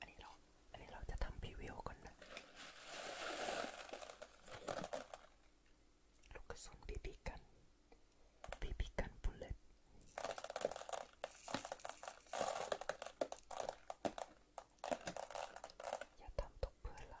อันนี้เราอันนี้เราจะทำพิวิวก่อนนะลูกกระสุนบีบีกันบีบีกันบุลเลตอย่าทำตกเพื่อนละ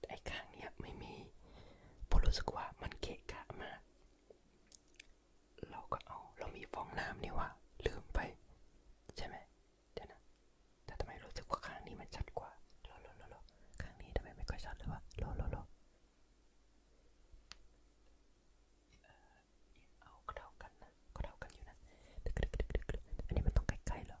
แต่ไอ้ข้างเนี้ยไม่มีผมรู้สึกว่ามันเกะกะมากเราก็เอาเรามีฟองน้ำนี่ว่า ลืมไป ใช่ไหมเดี๋ยวนะ แต่ทำไมรู้สึกว่าข้างนี้มันชัดกว่าโลโลโลโลข้างนี้ทำไมไม่ค่อยชัดเลยวะ โลโลโล เอาก็เท่ากันนะก็เท่ากันอยู่นะอันนี้มันต้องใกล้ๆแล้ว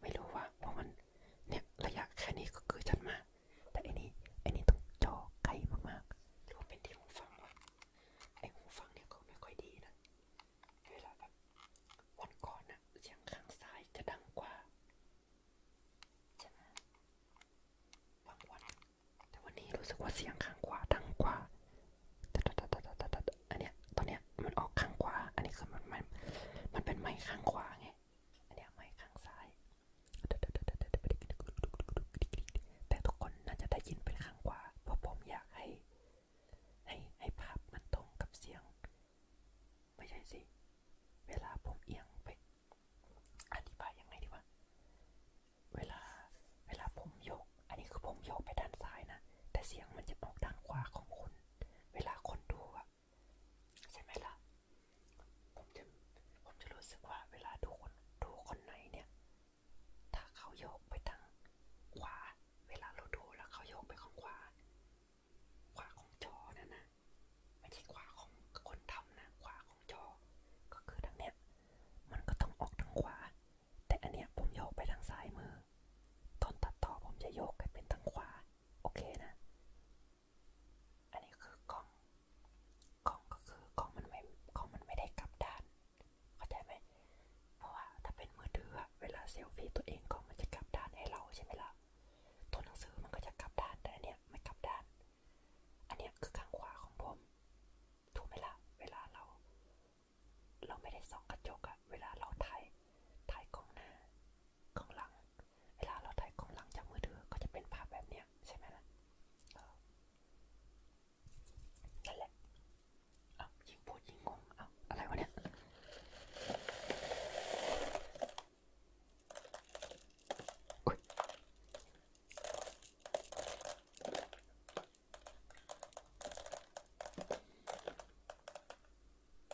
ไม่รู้ว่าเพราะมัน เนี่ยระยะแค่นี้ก็คือชัดมากแต่อันนี้อันนี้ต้องจอไกลมากๆหรือว่าเป็นที่หูฟังวะไอหูฟังเนี่ยก็ไม่ค่อยดีนะเวลาแบบ วันก่อนนะเสียงข้างซ้ายจะดังกว่าใช่ไหมบางวันแต่วันนี้รู้สึกว่าเสียงข้างขวาดังกว่าแต่แต่แต่แต่แต่อันเนี้ยตอนเนี้ยมันออกข้างขวา อันนี้คือมันมันมันเป็นไม้ข้างขวาไง อันนี้ไม้ข้างซ้าย แต่ทุกคนน่าจะได้ยินเป็นข้างขวาเพราะผมอยากให้ให้ให้ภาพมันตรงกับเสียง ไม่ใช่สิ เวลาผมเอียงไป อธิบายยังไงดีวะ เวลาเวลาผมยก อันนี้คือผมยกไปด้านซ้ายนะ แต่เสียงมันจะออกด้านขวาของคุณ เวลาคนดูอะใช่ไหมล่ะผมจะผมจะรู้สึกว่าเวลาดูคนดูคนไหนเนี่ย ถ้าเขาโยกไปทางขวา เวลาเราดูแล้วเขาโยกไปข้างขวา ขวาของจอนั่นนะ ไม่ใช่ขวาของคนทำนะ ขวาของจอ ก็คือทางเนี้ยมันก็ต้องออกทางขวา แต่อันเนี้ยผมโยกไปทางซ้ายมือตอนตัดต่อผมจะโยกไปเป็นทางขวาโอเคนะ อันนี้คือกล้องกล้องก็คือกล้องมันไม่กล้องมันไม่ได้กลับด้าน เข้าใจไหมเพราะว่าถ้าเป็นมือถือเวลาเซลฟี่ตัวเองกล้องมันจะกลับด้านให้เราใช่ไหมล่ะ ตัวหนังสือมันก็จะกลับด้านแต่อันเนี้ยไม่กลับด้าน อันเนี้ยคือข้างขวาของผม ถูกไหมล่ะ เวลาเรา เราไม่ได้ส่องกระจกอะเวลาเราถ่าย ถ่ายกล้องหน้าข้างหลังเวลาเราถ่ายข้างหลังจากมือถือก็จะเป็นภาพแบบเนี้ยใช่ไหมนะนั่นแหละอ้าวยิงพูดยิงงงอ้าวอะไรวะเน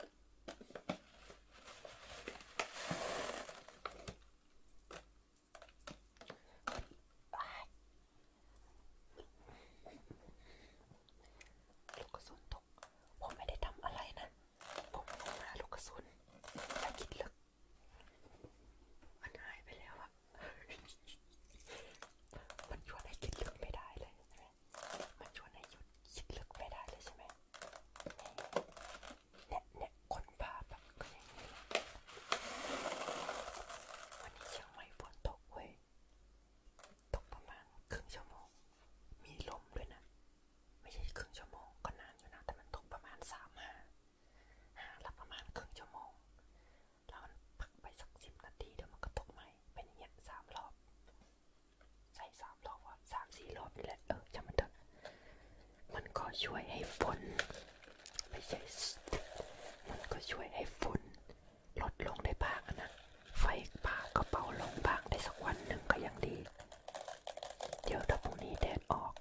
ี่ยลูกกระสุนตกผมไม่ได้ทำอะไรนะผมลงมาลูกกระสุนอย่าคิดลึกมันหายไปแล้วอะมันชวนให้คิดลึกไม่ได้เลยใช่ไหมมมันชวนให้หยุดคิดลึกไม่ได้เลยใช่ไหมเนี่ยเนี่ยคนบ้าแบบก็อย่างนี้วันนี้เชียงใหม่ฝนตกเว้ยตกประมาณครึ่งชั่วโมง มีลมด้วยนะ ไม่ใช่ครึ่งชั่วโมงก็นานอยู่นะ แต่มันตกประมาณสามห้าห้าละประมาณครึ่งชั่วโมง แล้วมันพักไปสักสิบนาทีเดี๋ยวมันก็ตกใหม่เป็นอย่างเงี้ยสามรอบใส่สามรอบสามสี่รอบนี่แหละเออจำมันเถอะ มันก็ช่วยให้ฝนไม่ใช่ มันก็ช่วยให้ฝนลดลงได้บ้างนะ ไฟป่าก็เปาลงบ้างได้สักวันหนึ่งก็ยังดี เดี๋ยวถ้าพรุ่งนี้แดดออก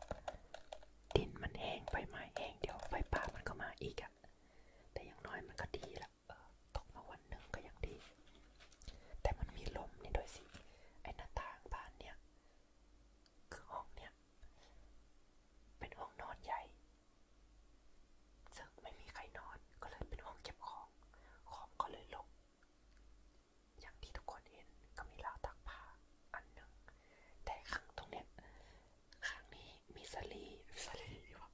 ดินมันแห้งใบไม้แห้ง เดี๋ยวไฟป่ามันก็มาอีกอะแต่ย่งน้อยมันก็ดีละเออตกมาวันหนึ่งก็ยังดี แต่มันมีลมนี่ด้วยสิไอ้หน้าต่างบ้านเนี่ยคือห้องเนี่ย เป็นห้องนอนใหญ่ซึ่งไม่มีใครนอนก็เลยเป็นห้องเก็บของของก็เลยลกอย่างที่ทุกคนเห็นก็มีราวตากผ้าอันหนึ่ง แต่ข้างตรงเนี้ยข้างนี้มีสลีสลีวะ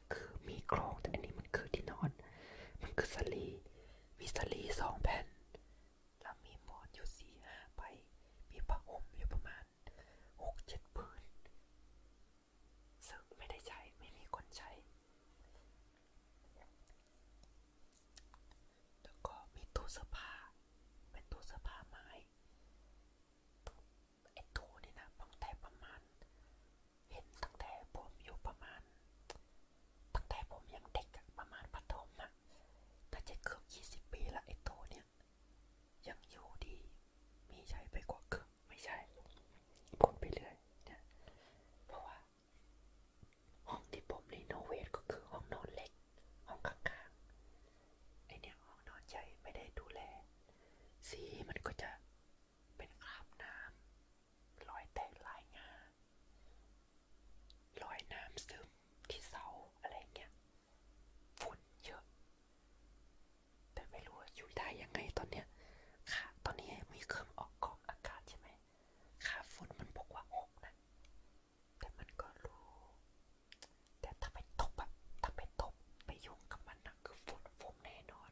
จะคือมีโครงแต่อันนี้มันคือที่นอน มันคือสลี มีสลีสองแผ่น แล้วมีหมอนอยู่สี่ห้าใบมีผ้าห่มอยู่ประมาณหกเจ็ดผืน ซึ่งไม่ได้ใช้ ไม่มีคนใช้ แล้วก็มีตู้เสื้อผ้าเป็นตู้เสื้อผ้าไม้ไอ้ตู้นี่นะตั้งแต่ประมาณเห็นตั้งแต่ผมอยู่ประมาณตั้งแต่ผมยังเด็กประมาณปฐมอะน่าจะเกือบยี่สิบปีละไอ้ตัวเนี่ยยังอยู่ดีมีใช้ไปกว่าครึ่งไม่ใช่พูดไปเรื่อยเนี่ยเพราะว่าห้องที่ผมรีโนเวทก็คือห้องนอนเล็กห้องข้างๆไอเนี่ยห้องนอนใหญ่ไม่ได้ดูแลสีมันก็จะเป็นคราบน้ำรอยแตกลายงารอยน้ำซึมที่เสาอะไรเงี้ยฝุ่นเยอะแต่ไม่รู้ว่าอยู่ได้ยังไงตอนเนี้ยค่ะตอนนี้มีเครื่องออกกรองอากาศใช่ไหมค่ะฝุ่นมันบอกว่าหกนะ แต่มันก็รู้แต่ถ้าไปตบแบบถ้าไปตบไปยุ่งกับมันนะคือฝุ่นฟุ้งแน่นอน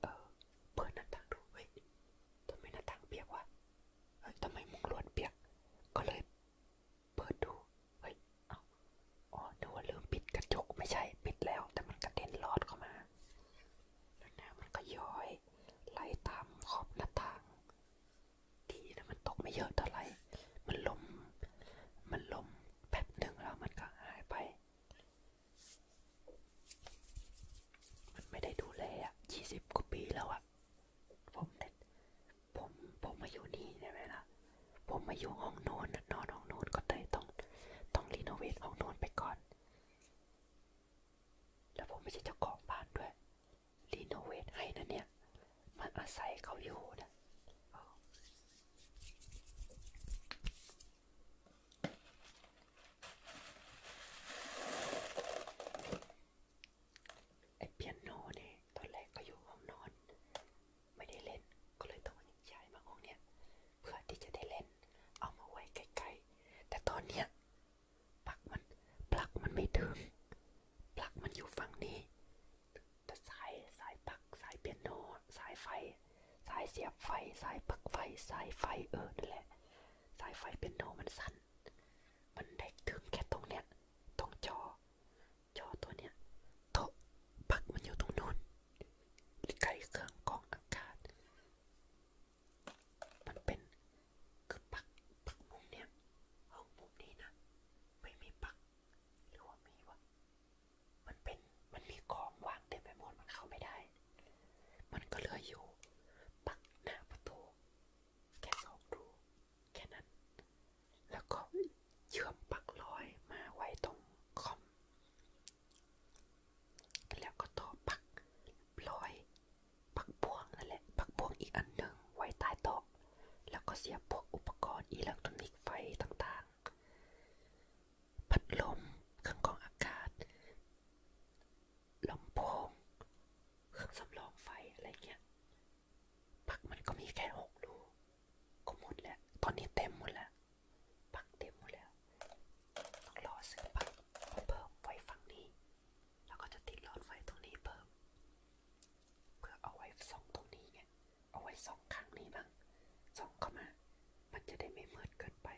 เออเปิดหน้าต่างดูเฮ้ยทำไมหน้าต่างเปียกวะเฮ้ยทำไมมุ้งลวดเปียก ก็เลยเปิดดูเฮ้ยเอาอ๋อนึกว่าลืมปิดกระจกไม่ใช่ปิดแล้ว แต่มันกระเด็นลอดเข้ามา แล้วน้ำมันก็ย้อยไหลตามขอบหน้าต่างดีนะมันตกไม่เยอะเท่าไหร่มันลม มันลมแป๊บหนึ่งแล้วมันก็หายไปมันไม่ได้ดูแลอ่ะยี่สิบกว่าปีแล้วอ่ะผมเด็ดผม ผมมาอยู่นี่ใช่ไหมล่ะ ผมมาอยู่ห้องโน้นนอนห้องโน้นก็เลยต้อง ต้องรีโนเวทห้องโน้นไปก่อน แล้วผมไม่ใช่เจ้าของบ้านด้วย รีโนเวทให้นะเนี่ย มันอาศัยเขาอยู่นะไอเปียโนเนี่ยตอนแรกก็อยู่ห้องนอน ไม่ได้เล่น ก็เลยต้องย้ายมาห้องเนี้ยเพื่อที่จะได้เล่น เอามาไว้ใกล้ๆแต่ตอนเนี้ยปลักมันปลักมันไม่ถึงปลักมันอยู่ฝั่งนี้แต่สายสายปลักสายเปียโนสายไฟสายเสียบไฟสายปลั๊กไฟสายไฟเออนั่นแหละสายไฟเป็นโนมันสั้นมันได้ถึงแค่ตรงเนี้ยตรงจอ จอตัวเนี้ยโต๊ะปลั๊กมันอยู่ตรงนู้นใกล้เครื่องกรองอากาศมันเป็นคือปลั๊กปลั๊กมุมเนี้ยห้องมุมนี้นะ ไม่มีปลั๊กหรือว่ามีวะมันเป็น มันมีของวางเต็มไปหมด มันเข้าไม่ได้ มันก็เหลืออยู่ ปักหน้าประตูแค่สองรูแค่นั้น แล้วก็เชื่อมปักร้อยมาไว้ตรงคอมแล้วก็ต่อปักร้อยปักพ่วงนั่นแหละปักพ่วงอีกอันหนึ่งไว้ใต้โต๊ะแล้วก็เสียบพวกอุปกรณ์อิเล็กทรอนิกส์ไฟต่างๆพัดลมเครื่องกรองอากาศลำโพงเครื่องสำรองไฟอะไรเงี้ยปักมันก็มีแค่หกรูก็หมดแล้วตอนนี้เต็มหมดแล้วปักเต็มหมดแล้วต้องรอซื้อปักเพิ่มไว้ฝั่งนี้ แล้วก็จะติดหลอดไฟตรงนี้เพิ่มเพื่อเอาไว้ส่องตรงนี้เนี่ยเอาไว้ส่องข้างนี้บ้างส่องเข้ามามันจะได้ไม่มืดเกินไป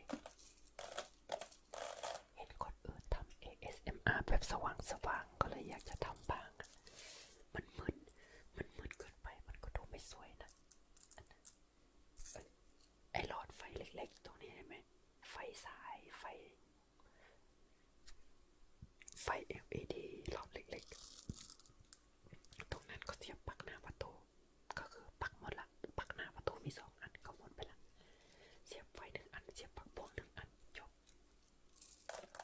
เห็นคนอื่นทำ ASMR แบบสว่างสว่างก็เลยอยากจะทำบ้าง มันมืดมันมืดเกินไป มันก็ดูไม่สวยนะ ไอ้หลอดไฟเล็กๆตรงนี้ได้ไหม ไฟสาย ไฟ ไฟ LED หลอดเล็กๆ ตรงนั้นก็เสียบปลั๊กหน้าประตูก็คือปักหมดละ ปักหน้าประตูมีสองอันก็หมดไปละ เสียบไฟหนึ่งอัน เสียบปลั๊กพ่วงหนึ่งอันจบ วันไ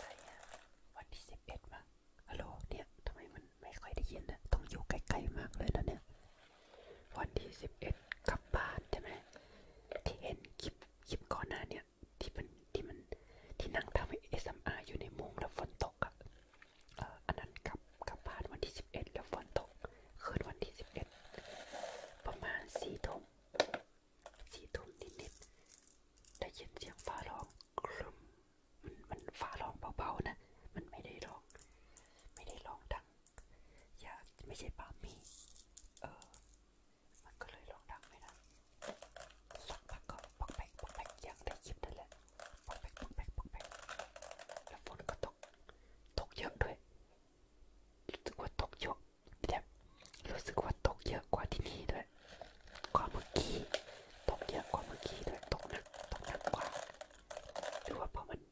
หนอะวันที่สิบเอ็ดมั้งฮัลโหล เนี่ย ทำไมมันไม่ค่อยได้ยินนะต้องอยู่ใกล้ๆมากเลยนะเนี่ยวันที่สิบเอ็ดกลับบ้านใช่ไหมที่เห็นคลิปคลิปก่อนหน้าเนี่ยที่มันที่มันที่นั่งทำให้เอสมอาอยู่ในมุ้งแล้วฝนตกอ่ะอันนั้นกลับกลับบ้านวันที่สิบเอ็ดแล้วฝนตกคืนวันที่สิบเอ็ดประมาณสี่ทุ่มสี่ทุ่มนิดๆได้ยินเสียงฟ้าร้องครึมมันมันฟ้าร้องเบาๆนะมันไม่ได้ร้องไม่ได้ร้องดังอยากไม่ใช่ปามี่เออมันก็เลยลงดังไม่นะสักพักก็ปอกแปกปอกแปกอยากได้คลิปนั่นแหละปอกแปกปอกแปกปอกแปกแล้วฝนก็ตกตกเยอะด้วย รู้สึกว่าตกเยอะแบบรู้สึกว่าตกเยอะกว่าที่นี่ด้วย กว่าเมื่อกี้ตกเยอะกว่าเมื่อกี้ด้วยตกหนัก ตกหนักกว่าหรือว่าเพราะมัน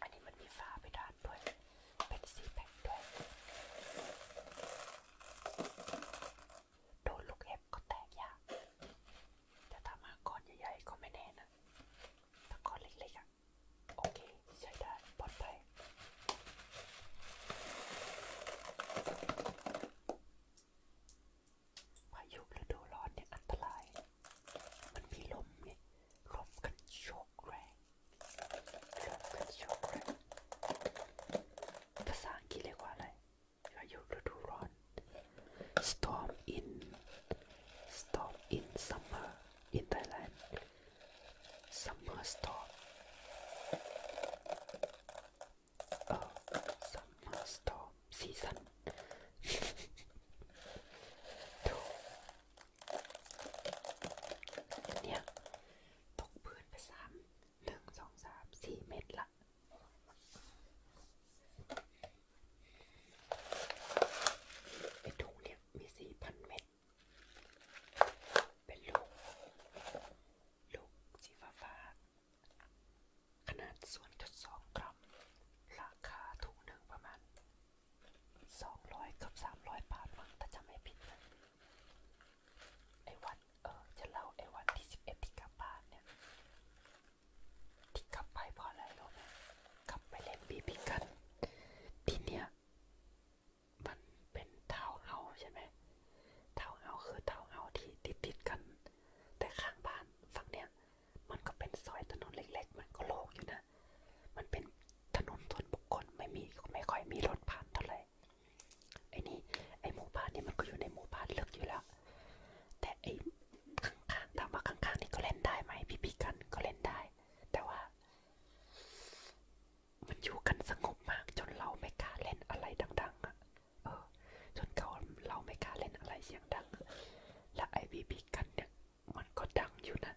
อันนี้มันมีฝาไปด้านด้วย เป็นสีแพ็คด้วยโดนลูกเห็บก็แตกยากแต่ถ้ามาก้อนใหญ่ๆก็ไม่แน่นะถ้าก้อนเล็กๆอ่ะโอเคใช้ได้ปลอดภัยพายุฤดูร้อนเนี่ยอันตรายมันมีลมไงลมกันโชกแรงลมกันโชกแรง ภาษาอังกฤษเรียกว่าอะไรพายุฤดูร้อน storm in storm in summer in Thailand summer storm เออ summer storm season ถูกเนี่ยตกพื้นไปซ้ำหนึ่งสองสามสี่เม็ดละไอถุงเนี่ยมีสี่พันเม็ดเป็นลูก ลูกสีฟ้าฟาขนาดส่วนจุดสองกรัมราคาถุงหนึ่งประมาณสองร้อยกับสามร้อยบาทมั้งถ้าจำไม่ผิดนะไอ้วันเออจะเล่าไอ้วันที่สิบเอ็ดที่กลับบ้านเนี่ยที่กลับไปเพราะอะไรรู้ไหมกลับไปเล่นบีบีกัน ทีเนี้ยมันเป็นเท้าเงาใช่ไหมเท้าเงาคือเท้าเงาที่ติดติดกัน แต่ข้างบ้านฝั่งเนี้ยมันก็เป็นซอยถนนเล็กๆ มันก็โล่งอยู่นะ มันเป็นถนนส่วนบุคคลไม่มีไม่ค่อยมีรถผ่านเท่าไหร่ ไอ้นี่ไอ้หมู่บ้านนี่มันก็อยู่ในหมู่บ้านลึกอยู่แล้ว แต่ไอ้ข้างๆถามว่าข้างๆนี่ก็เล่นได้ไหมพี่พี่กันก็เล่นได้ แต่ว่า มันอยู่กันสงบมากจนเราไม่กล้าเล่นอะไรดังๆอะเออจนเขาเราไม่กล้าเล่นอะไรเสียงดัง และไอ้พี่พี่กันเนี่ยมันก็ดังอยู่นะ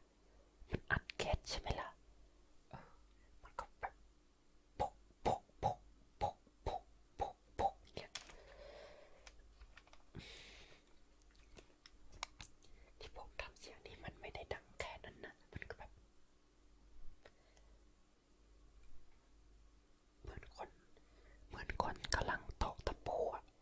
มันอัดแก๊สใช่ไหมล่ะมันก็แบบปกปกปกปกปกปกปกเนี่ยที่ผมทำเสียงนี้มันไม่ได้ดังแค่นั้นนะมันก็แบบ เหมือนคน เหมือนคนกำลังตอกตะปูอะ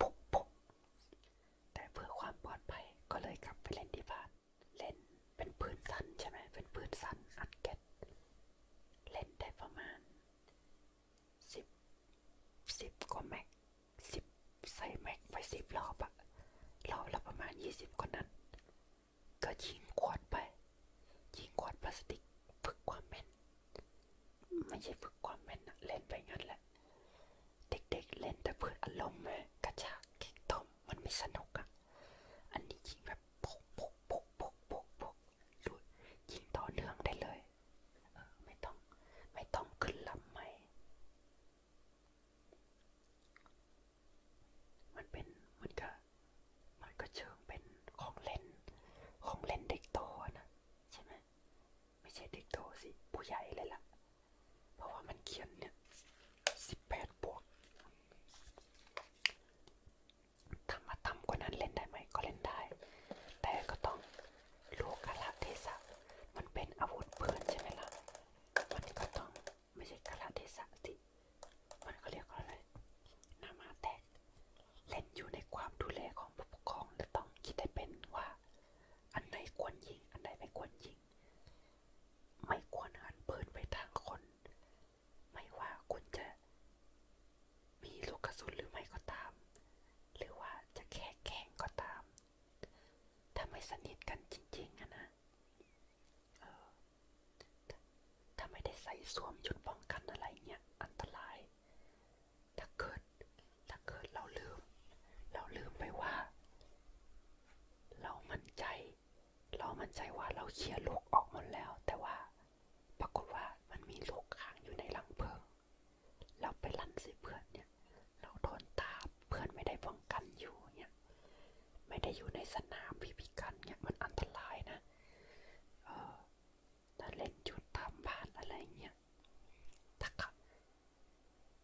ปุ๊บปุ๊บปุ๊บแต่เพื่อความปลอดภัยก็เลยกลับไปเล่นที่บ้าน เล่นเป็นปืนสั้นใช่ไหมเป็นปืนสั้นอัดเก็ตเล่นได้ประมาณสิบสิบกว่าแม็กสิบใส่แม็กไปสิบรอบอะรอบละประมาณยี่สิบกว่านัดก็ยิงขวดไป ยิงขวดพลาสติก ฝึกความแม่นไม่ใช่ฝึกความแม่นนะเล่นไปงั้นแหละเด็ก ๆเล่นแต่เพื่ออารมณ์ไงกระชากเก่งต้มมันไม่สนุกอะอันนี้ยิงแบบปุกปุกปุกปุกปุกปุกดูยิงต่อเนื่องได้เลยเออไม่ต้องไม่ต้องขึ้นลำใหม่มันเป็นมันก็มันก็เชิงเป็นของเล่นของเล่นเด็กโตนะใช่ไหมไม่ใช่เด็กโตสิ ผู้ใหญ่เลยล่ะ เพราะว่ามันเขียนเนี่ยสิบแปดบวกทำมาต่ำกว่านั้นเล่นได้ไหมก็เล่นได้ แต่ก็ต้องรู้กาลเทศะ มันเป็นอาวุธปืนใช่ไหมล่ะ มันก็ต้องไม่ใช่กาลเทศะสิ มันก็เรียกว่าอะไรนามาแตกเล่นอยู่ในความดูแลของผู้ปกครองและต้องคิดให้เป็นว่า อันไหนควรยิง อันไหนไม่ควรยิง ไม่ควรหันปืนไปทางคน ไม่ว่าคุณจะมีลูกกระสุนหรือไม่ก็ตาม หรือว่าจะแค่แข่งก็ตามถ้าไม่สนิทกันจริงๆอะนะออถ้าไม่ได้ใส่สวมชุดป้องกันอะไรเนี่ยอันตรายถ้าเกิดถ้าเกิดเราลืม เราลืมไปว่า เรามั่นใจ เรามั่นใจว่าเราเคลียร์ลูกออกหมดแล้วแต่ว่าปรากฏว่ามันมีลูกค้างอยู่ในรังเพลิง เราไปลั่นสิเพื่อนเนี่ย เราโดนตาเพื่อนไม่ได้ป้องกันอยู่เนี่ยไม่ได้อยู่ในสนามพิพิการเนี่ยมันอันตรายนะเออถ้าเล่นจุดทำบ้านอะไรเงี้ยถ้าเขา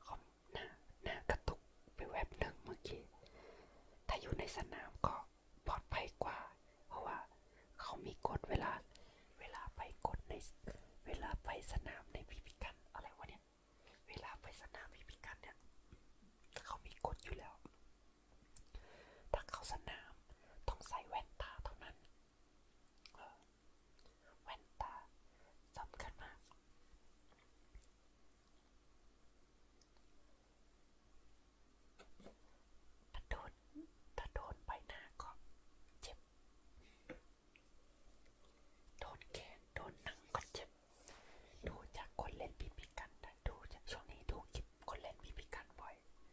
เขาหน้าหน้ากระตุกไปแวบหนึ่งเมื่อกี้ ถ้าอยู่ในสนามก็ปลอดภัยกว่า เพราะว่าเขามีกฎเวลา เวลาไปกฎใน เวลาไปสนามในพิพิกันอะไรวะเนี่ย เวลาไปสนามพิพิกันเนี่ยเขามีกฎอยู่แล้ว ถ้าเข้าสนาม ต้องใส่แว่นตาเท่านั้นแว่นตาสำคัญมาก ถ้าโดน ถ้าโดนใบหน้าก็เจ็บ โดนแขนโดนหนังก็เจ็บ ดูจากคนเล่นบีบีกันนะ ดูจากช่วงนี้ดูคลิปคนเล่นบีบีกันบ่อย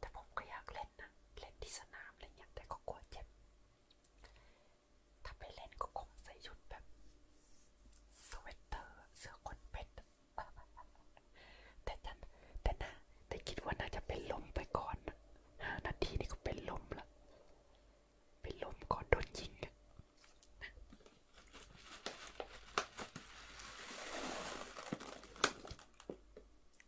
แต่ผมก็อยากเล่นนะเล่นที่สนามอะไรเงี้ยแต่ก็กลัวเจ็บถ้าไปเล่นก็คงใส่ชุดแบบ สเวตเตอร์เสื้อขนเป็ดแต่ฉันแต่นะแต่คิดว่าน่าจะเป็นลมไปก่อนห้านาทีนี่ก็เป็นลมละเป็นลมก่อนโดนยิงนะ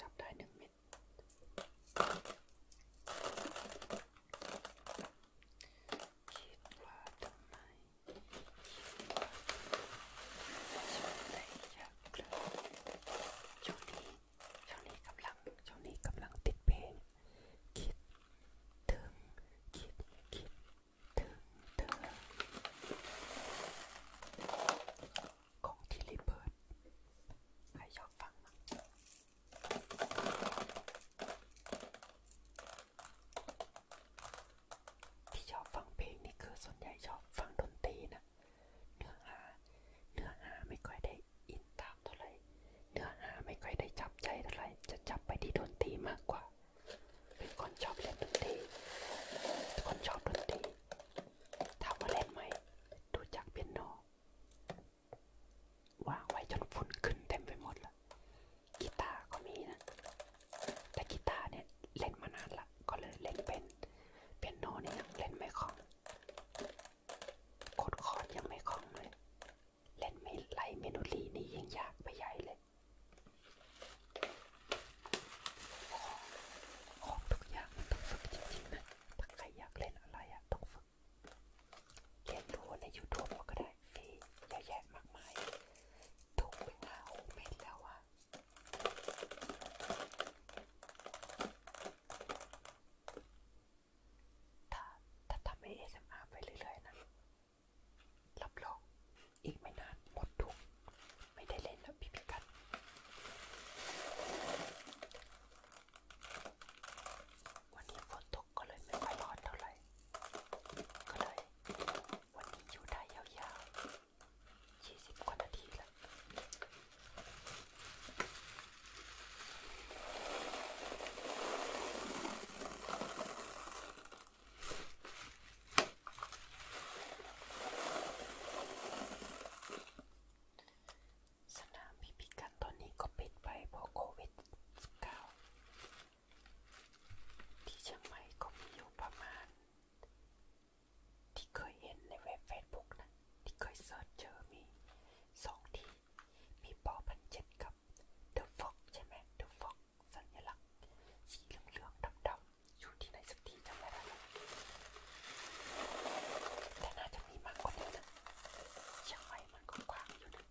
จับได้หนึ่งเม็ดคิดว่าทำไมช่วงไหนอยากเลิกช่วงนี้ช่วงนี้กำลังช่วงนี้กำลังติดเพลงคิดถึงคิดคิดถึงเธอของทิลิเบิร์ดใครชอบฟังมั้งที่ชอบฟังเพลงนี่คือส่วนใหญ่ชอบฟังดนตรีนะเนื้อหาเนื้อหาไม่ค่อยได้อินตามเท่าไหร่เนื้อหาไม่ค่อยได้จับใจเท่าไหร่จะจับไปที่ดนตรีมากกว่า เป็นคนชอบเล่นดนตรีคนชอบดนตรีถามว่าเล่นไหมดูจากเปียโนวางไว้จนฝุ่นขึ้นเต็มไปหมดละกีตาร์ก็มีนะแต่กีตาร์เนี่ยเล่นมานานละก็เลยเล่นเป็นเปียโนเนี่ยเล่นไม่คล่องโคตรคอนยังไม่คล่องเลย เล่นไม่ไล่เมนูลีนี่ยิ่งยากไปใหญ่เลยของทุกอย่างมันต้องฝึกจริงๆนะถ้าใครอยากเล่นอะไรอะต้องฝึกเรียนรู้ในยูทูบก็ได้ที่เยอะแยะมากมาย ถูกไปห้าหกเม็ดแล้วอะถ้าถ้าทำให้ ASMR ไปเรื่อยๆนะ รับรองอีกไม่นานหมดทุก ไม่ได้เล่นแล้วพี่พิกัน วันนี้ฝนตกก็เลยไม่ค่อยร้อนเท่าไหร่ก็เลยวันนี้อยู่ได้ยาวๆ 20กว่านาทีแล้วสนามพิพิกันตอนนี้ก็ปิดไปเพราะโควิด -19 ที่เชียงใหม่ก็มีอยู่ประมาณ ที่เคยเห็นในเว็บเฟซบุ๊กนะ ที่เคยเสิร์ชเจอ มีสองที่มีปอพันเจ็ดกับเดอะฟ็อกใช่ไหมเดอะฟ็อกสัญลักษณ์สีเหลืองๆดำๆอยู่ที่ไหนสักที่จำไม่ได้แต่น่าจะมีมากกว่านี้นะเชียงใหม่มันก็กว้างอยู่นะ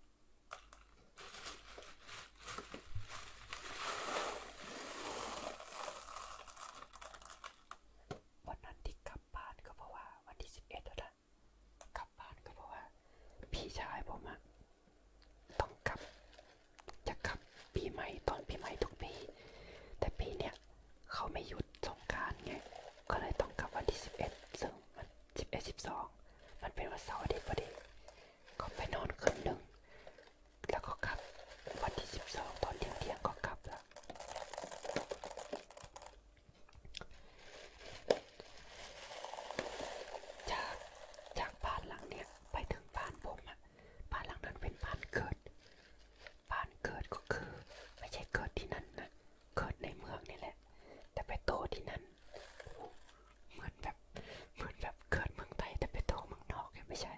วันนั้นที่กลับบ้านก็เพราะว่าวันที่สิบเอ็ดแล้วนะกลับบ้านก็เพราะว่าพี่ชายผมอะต้องกลับ จะกลับปีใหม่ตอนปีใหม่ทุกปีแต่ปีเนี้ยเขาไม่หยุดสงการไง ก็เลยต้องกลับวันที่สิบเอ็ดซึ่งมันสิบเอ็ดสิบสองมันเป็นวันเสาร์อาทิตย์พอดีก็ไปนอนคืนหนึ่ง แล้วก็กลับวันที่สิบสองตอนเที่ยงเที่ยงก็กลับละจากจากบ้านหลังเนี้ยไปถึงบ้านผมอะบ้านหลังนั้นเป็นบ้านเกิดบ้านเกิดก็คือไม่ใช่เกิดที่นั่นนะเกิดในเมืองนี่แหละ แต่ไปโตที่นั่น เหมือนแบบเหมือนแบบเกิดเมืองไทยแต่ไปโตเมืองนอก ไม่ใช่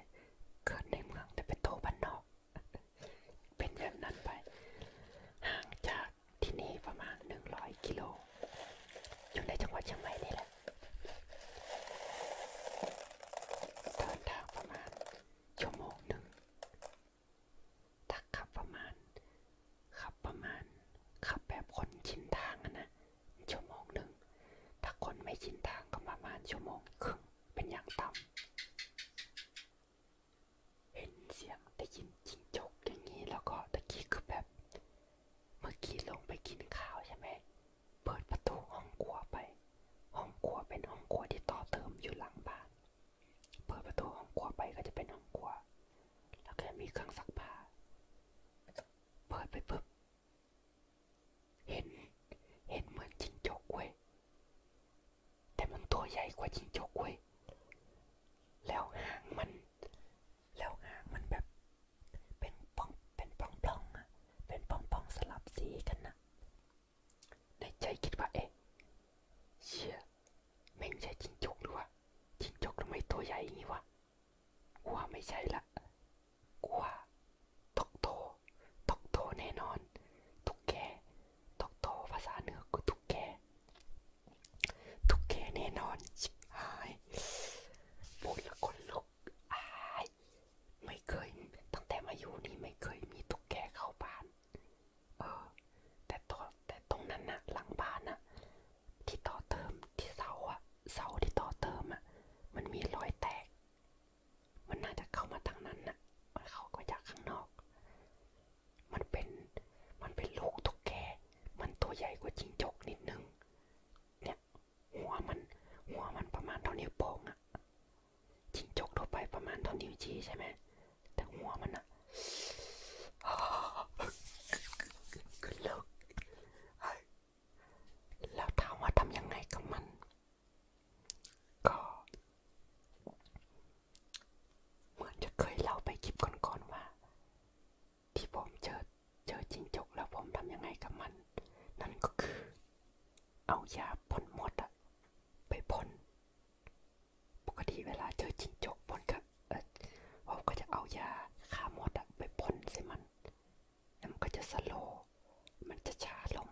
เกิดในเมืองแต่ไปโตบ้านนอก เป็นแบบนั้นไปห่างจากจากที่นี่ประมาณ 100กิโลอยู่ในจังหวัดเชียงใหม่นี่แหละเดินทางประมาณชั่วโมงหนึ่งถ้าขับประมาณขับประมาณขับแบบคนชินทางนะชั่วโมงหนึ่งถ้าคนไม่ชินทางก็ประมาณชั่วโมงครึ่งเป็นอย่างต่ำเห็นเสียงได้ยินจิงจกอย่างนี้แล้วก็ตะกี้คือแบบ เมื่อกี้ลงไปกินข้าวใช่ไหมเปิดประตูห้องครัวไปห้องครัวเป็นห้องครัวที่ต่อเติมอยู่หลังบ้าน เปิดประตูห้องครัวไปก็จะเป็นห้องครัวแล้วก็มีเครื่องซักผ้าเปิดไปปุ๊บเห็นเห็นเหมือนจิงจกเว้ยแต่มันตัวใหญ่กว่าจิงจกเว้ยแล้วหางมันแล้วหางมันแบบ เป็นป้อง เป็นป้องป้องอะเป็นป้องป้องสลับสีกันนะในใจคิดว่าเอ๊ะเชี่ยแม่งใช่จิงจกหรือวะจิงจกทำไมตัวใหญ่อย่างนี้วะกว่าไม่ใช่ละกว่าตกโตตกโตแน่นอนตุกแกตกโตภาษาเหนือกูทุกแกทุกแกแน่นอนชิบหายพูดแล้วคนลุกอายไม่เคยตั้งแต่มาอยู่นี่ไม่เคยมีตุ๊กแกเข้าบ้านเออแต่ตอนแต่ตรงนั้นนะหลังบ้านนะที่ต่อเติมที่เสาอะเสาที่ต่อเติมอะมันมีรอยแตก มันน่าจะเข้ามาทางนั้นนะมันเข้ามาจากข้างนอกมันเป็นมันเป็นลูกตุ๊กแก มันตัวใหญ่กว่าจิงจกนิดนึง เนี่ยหัวมัน หัวมันประมาณเท่านิ้วโป้งอะจิงจกทั่วไปประมาณเท่านิ้วชี้ใช่ไหมแต่หัวมันอะก็เลิกแล้วถามว่าทำยังไงกับมันก็เหมือนจะเคยเล่าไปคลิปก่อนๆว่าที่ผมเจอเจอจิงจกแล้วผมทำยังไงกับมัน นั่นก็คือ เอายาพ่นมดอะไปพ่นปกติเวลาเจอจิงจกพ่นก็เราก็จะเอายาฆ่ามดอะไปพ่นใส่มันแล้วมันก็จะสโลมันจะช้าลง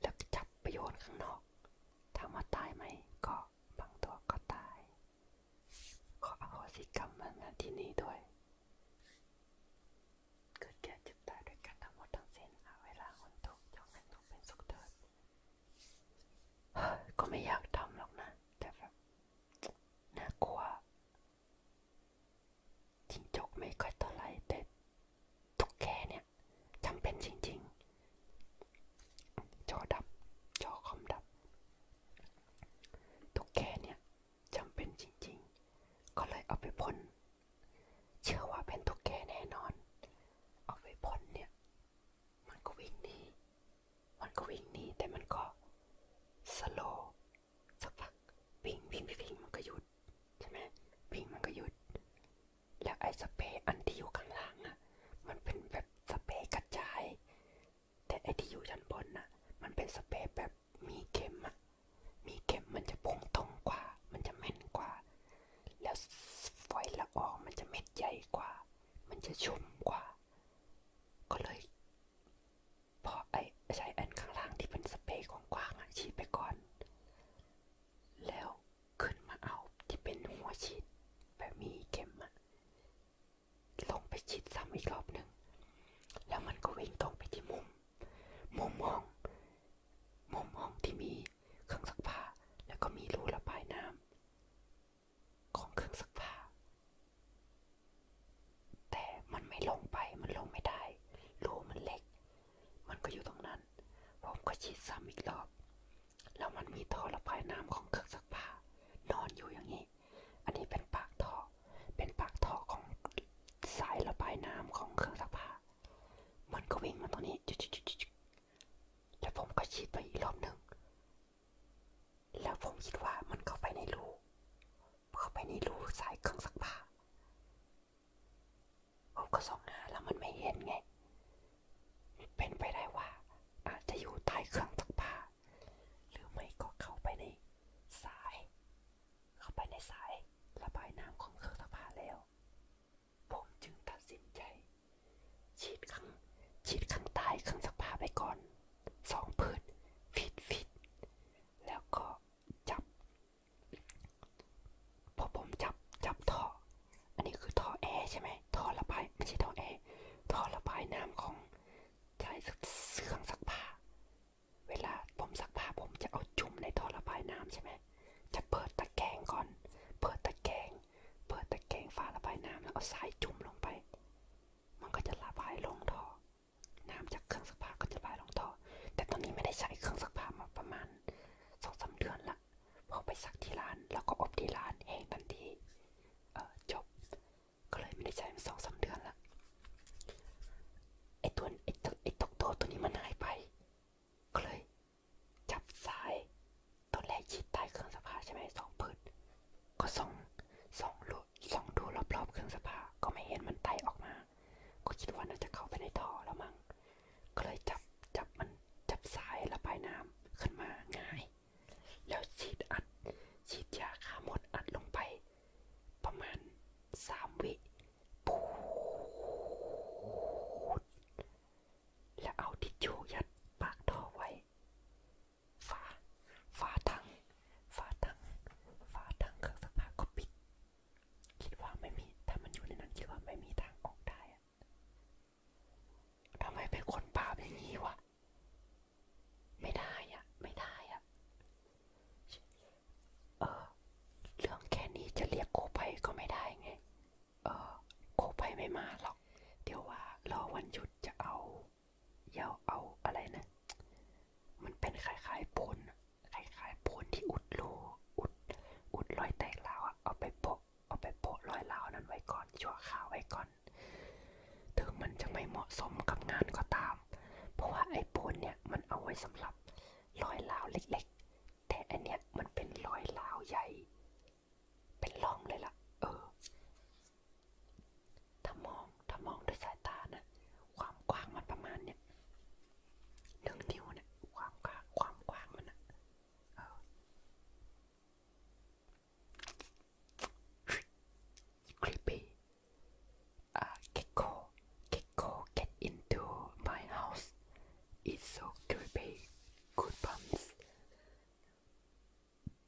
แล้วจับไปโยนข้างนอกถามว่าตายไหมก็บางตัวก็ตายขออโหสิกรรมมาณที่นี้ด้วยเกิดแก่เจ็บตายด้วยกันทั้งหมดทั้งสิ้นเอาเวลาคนทุกข์จงเป็นทุกข์เป็นสุขเถิดก็ไม่อยากทำหรอกนะแต่แบบน่ากลัวจิงจกไม่ค่อยต่อไร แต่ตุ๊กแกเนี่ยจำเป็นจริงๆจอดับ จอคอมดับ ตุ๊กแกเนี่ยจำเป็นจริงๆ ก็เลยเอาไปพ่นเชื่อว่าเป็นตุ๊กแกแน่นอน เอาไปพ่นเนี่ย มันก็วิ่งหนีมันก็วิ่งหนี แต่มันก็สโลสักพักวิ่งวิ่งวิ่งมันก็หยุด ใช่ไหมวิ่งมันก็หยุดแล้วไอ้สเปรย์อันที่อยู่ข้างล่างอะ่ะ มันเป็นแบบสเปรย์กระจาย แต่ไอ้ที่อยู่ชั้นบนน่ะ มันเป็นสเปรย์แบบมีเข็มอะ่ะมีเข็มมันจะพุ่งตรงกว่า มันจะแม่นกว่า แล้วฝอยละอองมันจะเม็ดใหญ่กว่า มันจะชุ่มกว่า ก็เลย พอไอ้ใช้อันข้างล่างที่เป็นสเปรย์กว้างๆอ่ะฉีดไปก่อน แล้วขึ้นมาเอาที่เป็นหัวฉีดแบบมีเข็มอะลงไปฉีดซ้ำอีกรอบหนึ่งแล้วมันก็วิ่งตรงไปที่มุม มุมห้องมุมห้องที่มีเครื่องซักผ้าแล้วก็มีรูระบายน้ำของเครื่องซักผ้าแต่มันไม่ลงไปมันลงไม่ได้รูมันเล็ก มันก็อยู่ตรงนั้นผมก็ฉีดซ้ำอีกรอบแล้วมันมีท่อระบายน้ำของเครื่องซักผ้านอนอยู่อย่างนี้ อันนี้เป็นปากท่อ เป็นปากท่อของสายระบายน้ำของเครื่องซักผ้า มันก็วิ่งมาตรงนี้จุดๆแล้วผมก็ฉีดไปอีกรอบหนึ่ง แล้วผมคิดว่ามันเข้าไปในรูเข้าไปในรูสายเครื่องซักผ้า ผมก็ส่องหาแล้วมันไม่เห็นไงเป็นไปได้ว่าอาจจะอยู่ใต้เครื่องซักผ้าหรือไม่ก็เข้าไปในสาย เข้าไปในสายระบายน้ำของเครื่องซักผ้าแล้ว ผมจึงตัดสินใจ ฉีดข้างฉีดข้างใต้เครื่องซักผ้าไปก่อนสองพืชฟิดฟิด แล้วก็จับ พอผมจับจับท่ออันนี้คือท่อแอร์ใช่ไหมท่อระบายไม่ใช่ท่อแอร์ท่อระบายน้ํของใช้เครื่องซักผ้าเวลาผมซักผ้าผมจะเอาจุ่มในท่อระบายน้ํใช่ไหมจะเปิดตะแกงก่อนเปิดตะแกงเปิดตะแกงฝาระบายน้ํแล้วเอาสายจุ่มลงไป มันก็จะระบายลงท่อน้ํจากเครื่องซักผ้าก็จะระบลงท่อแต่ตอนนี้ไม่ได้ใช้เครื่องซักผ้ามาประมาณสองสาเดือนละพอไปซักที่ร้าน แล้วก็อบที่ร้านแห้งทันทีเจบ ก็เลยไม่ได้ใช้มาสองสาเดือนละ ไอตัวไอตไตกโตัวนี้มันหายไป ก็เลยจับสายตอนแรกฉีดใต้เครื่องสภาใช่ไหม สองพืชก็สองสองดูสองดูรอบๆเครื่องสภาก็ไม่เห็นมันไตออกมา ก็คิดว่าน่าจะเข้าไปในท่อแล้วมั้ง ก็เลยจับจับมันจับสายระบายน้ํขึ้นมาง่ายแล้วฉีดอัดฉีดยาฆ่าหมดอัดลงไป ประมาณสามวิปูดแล้วเอาทิชชู่ยัดปากท่อไว้ฝาฝาทังฝาทังฝาทังเครื่องสักผ้าก็ปิดคิดว่าไม่มี ถ้ามันอยู่ในนั้นคิดว่าไม่มีทางออกได้อะทำไมเป็นคนบาปอย่างนี้วะ ไม่ได้อะไม่ได้อะเออ เรื่องแค่นี้จะเรียกโกไปก็ไม่ได้ไง เออโกไปไม่มาหรอก เดี๋ยวว่ารอวันหยุดจะเอายาวเอาอะไรนะ มันเป็นคล้ายๆปูนคล้ายๆปูนที่อุดรูอุด อุดรอยแตกแล้วอะเอาไปโปะเอาไปโปะรอยรลานั้นไว้ก่อนชั่วขราวไว้ก่อนถึงมันจะไม่เหมาะสมกับงานก็ตาม เพราะว่าไอ้ปูนเนี่ยมันเอาไว้สำหรับรอยรลาเล็ก ๆ แต่อันเนี้ยมันเป็นรอยเ้าใหญ่ เป็นร่องเลยล่ะ เออ ถ้ามอง ถ้ามองด้วยสายตานะความกว้างมันประมาณเนี่ยหนึ่งนิ้วเนี่ย ความกว้างความกว้างมันนะ creepy. Uh, gecko, gecko, get into my house. It's so creepy. Good bumps.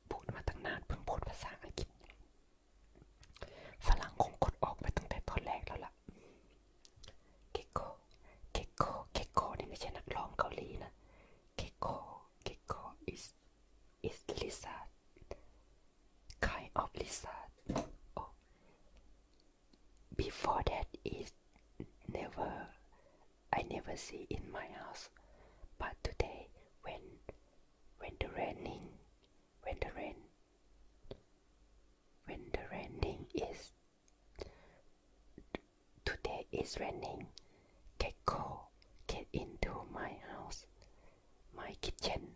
พูดมาตั้งนานเพิ่งพูดภาษาอังกฤษฝรั่งคงกดออกไปตั้งแต่ตอนแรกแล้วล่ะเกโกเกโกเกโกนี่ไม่ใช่นักร้องเกาหลีนะ Gecko. Gecko is is lizard. Kind of lizard. Oh. Before that is never I never see in my house. But today when when the raining when the rain when the raining is Today is raining. Get Get into my house, my kitchen.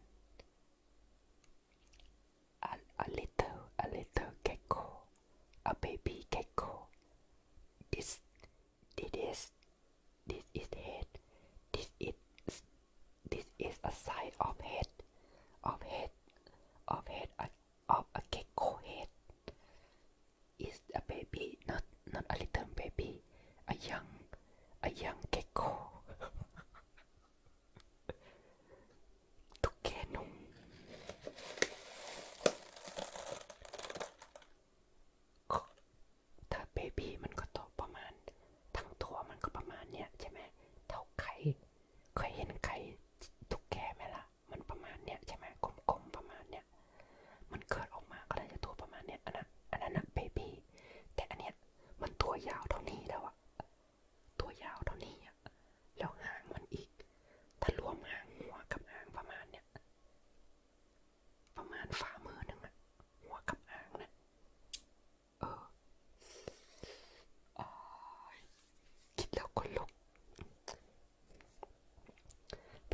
A, little, a little gecko, a baby gecko. This, this is, this is head. This is, this is a side of head, of head, of head. of a gecko head. Is a baby, not not a little baby, a young, a young gecko. ตุกแกนุ่มถ้าเบบี้มันก็ตัวประมาณทั้งตัวมันก็ประมาณเนี้ยใช่ไหมเท่าไข่เคยเห็นไข่ตุ๊กแกไหมล่ะมันประมาณเนี้ยใช่ไหมกลมๆประมาณเนี้ยมันเกิดออกมาก็ได้จะตัวประมาณเนี้ยอันนั้นอันนั้นนะเบบี้แต่อันเนี้ย มันตัวยาวเท่านี้แล้วอะตัวยาวเท่านี้อะแล้วหางมันอีก ถ้ารวมหางหัวกับหางประมาณเนี้ยประมาณฝ่ามือหนึ่งอะหัวกับหางนะเออ คิดแล้วก็ลุก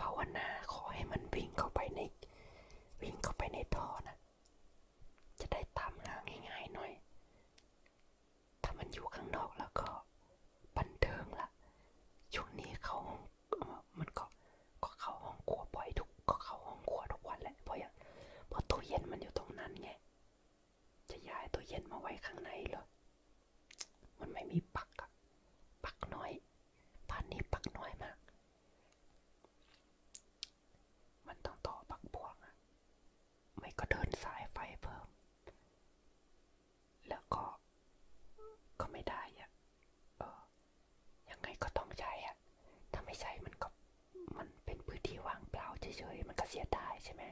ภาวนาขอให้มันวิ่งเข้าไปในวิ่งเข้าไปในท่อนะจะได้ตามหาง่ายๆหน่อย ถ้ามันอยู่ข้างนอกแล้วก็บันเทิงละช่วงนี้เขามันก็ก็เข้าห้องครัวบ่อยทุก ก็เข้าห้องครัวทุกวันแหละเพราะอย่างเพราะตู้เย็นมันอยู่ตรงนั้นไงจะย้ายตู้เย็นมาไว้ข้างในเหรอมันไม่มีปักปักน้อยบ้านนี้ปักน้อยมาก มันต้องต่อปักพวงอะไม่ก็เดินสายไฟเพิ่มแล้วก็ก็ไม่ได้อะเอยงไงก็ต้องใช้อะถ้าไม่ใช้มันก็มันเป็นพื้นที่วางเปล่าเฉยๆมันก็เสียดายใช่ไหม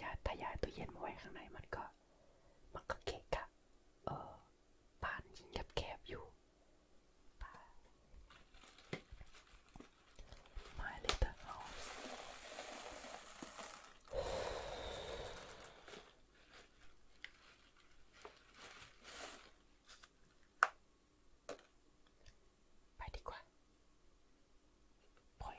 ยาถ้ายาตู้เย็นมไว้ข้างในมันก็มันก็เกะกะเออบ้านยิงแคบๆอยู่มาเลยเถอะเอาไปดีกว่าปล่อย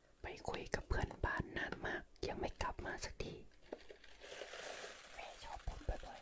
ไปคุยกับเพื่อนบ้านนานมากยังไม่กลับมาสักทีแม่ชอบพูดบ่อย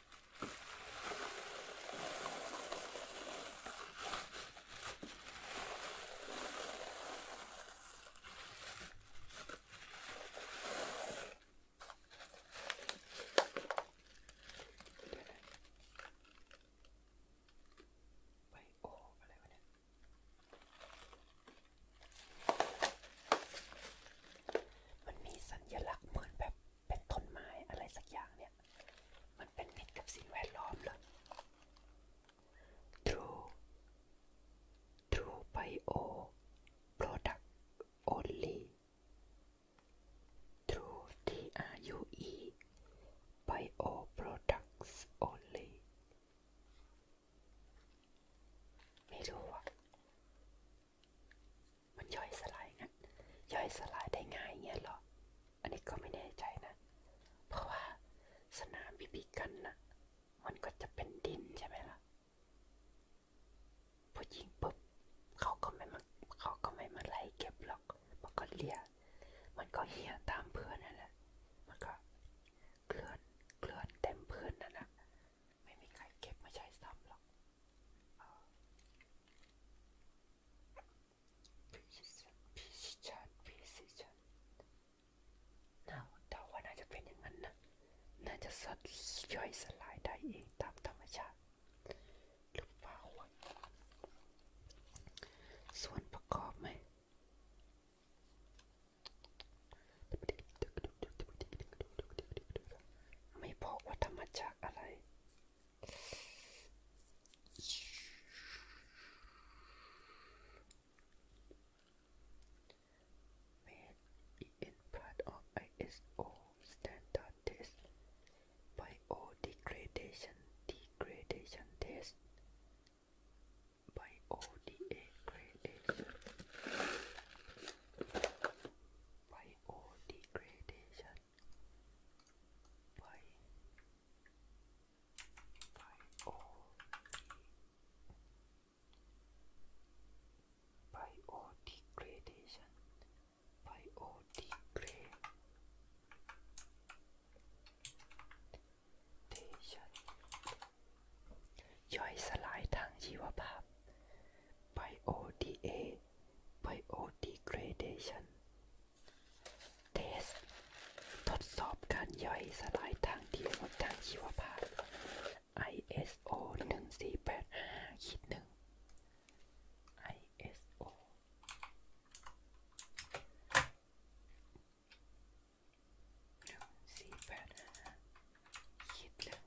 ไปโออะไรวะเนี่ยมันมีสัญลักษณ์เหมือนแบบเป็นต้นไม้ อะไรสักอย่างเนี่ย มันเป็นมิตรกับสิ่งแวดล้อมเหรอ True True Bio Product Only True T R U E Bio Products Only ไม่รู้อะมันย่อยสลายงั้นย่อยสลายได้ง่ายเงี้ยหรออันนี้ก็ไม่แน่ใจนะเพราะว่าสนามบีบีกันนะมันก็จะเป็นดินใช่ไหมล่ะพอยิงปุ๊บเขาก็ไม่มาเขาก็ไม่มาไล่เก็บหรอกมันก็เลียมันก็เหี่ยตามเพื่อนนั่นแหละมันก็เคลื่อนเคลื่อนเต็มพื้นนั่นแหละไม่มีใครเก็บมาใช้ซ้ำหรอกพี่สิชันพี่สิชัน น่าเดาว่าน่าจะเป็นอย่างนั้นนะน่าจะสัตว์ย่อยสลายได้เองตามธรรมชาติหรือเปล่าส่วนประกอบไหม ไม่บอกว่าทำมาจากอะไร Made in standard test, biodegradation degradation test, biodegradation, biodegradation ไปโอไบโอดีเกรเดชันไบโอดีเกรเดชันย่อยสลายทางชีวภาพไบโอดีเอ biodegradation test ทดสอบการย่อยสลายทางที่วทางชีวภาพ ISO 1485คิดหนึ่ง ISO หนึ่1485คิดหนึ่ง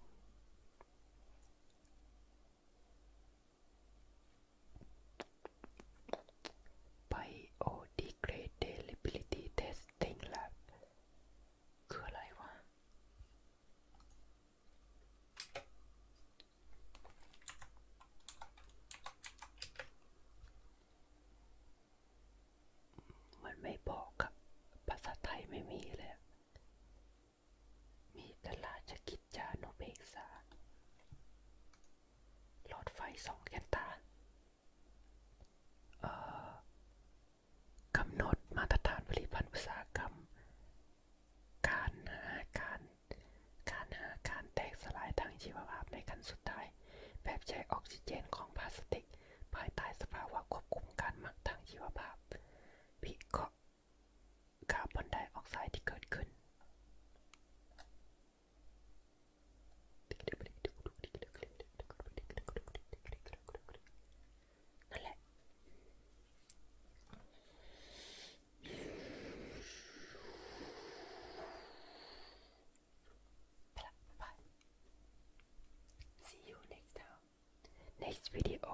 Biodegradability Testing Lab คืออะไรวะมันไม่บอกครับภาษาไทยไม่มีเลยมีกราชกิจจานุเบกษาหลอดไฟสองแกนตาเอ่อกำหนดมาตรฐานผลิตภัณฑ์อุตสาหกรรมการหาการการหาการแตกสลายทางชีวภาพในขั้นสุดท้ายแบบใช้ออกซิเจนของพลาสติก ภายใต้สภาวะควบคุมการหมักทางชีวภาพพิเคราะห์คาร์บอนไดออกไซด์ที่เกิดขึ้นนั่นแหละไปละ bye see you next time next video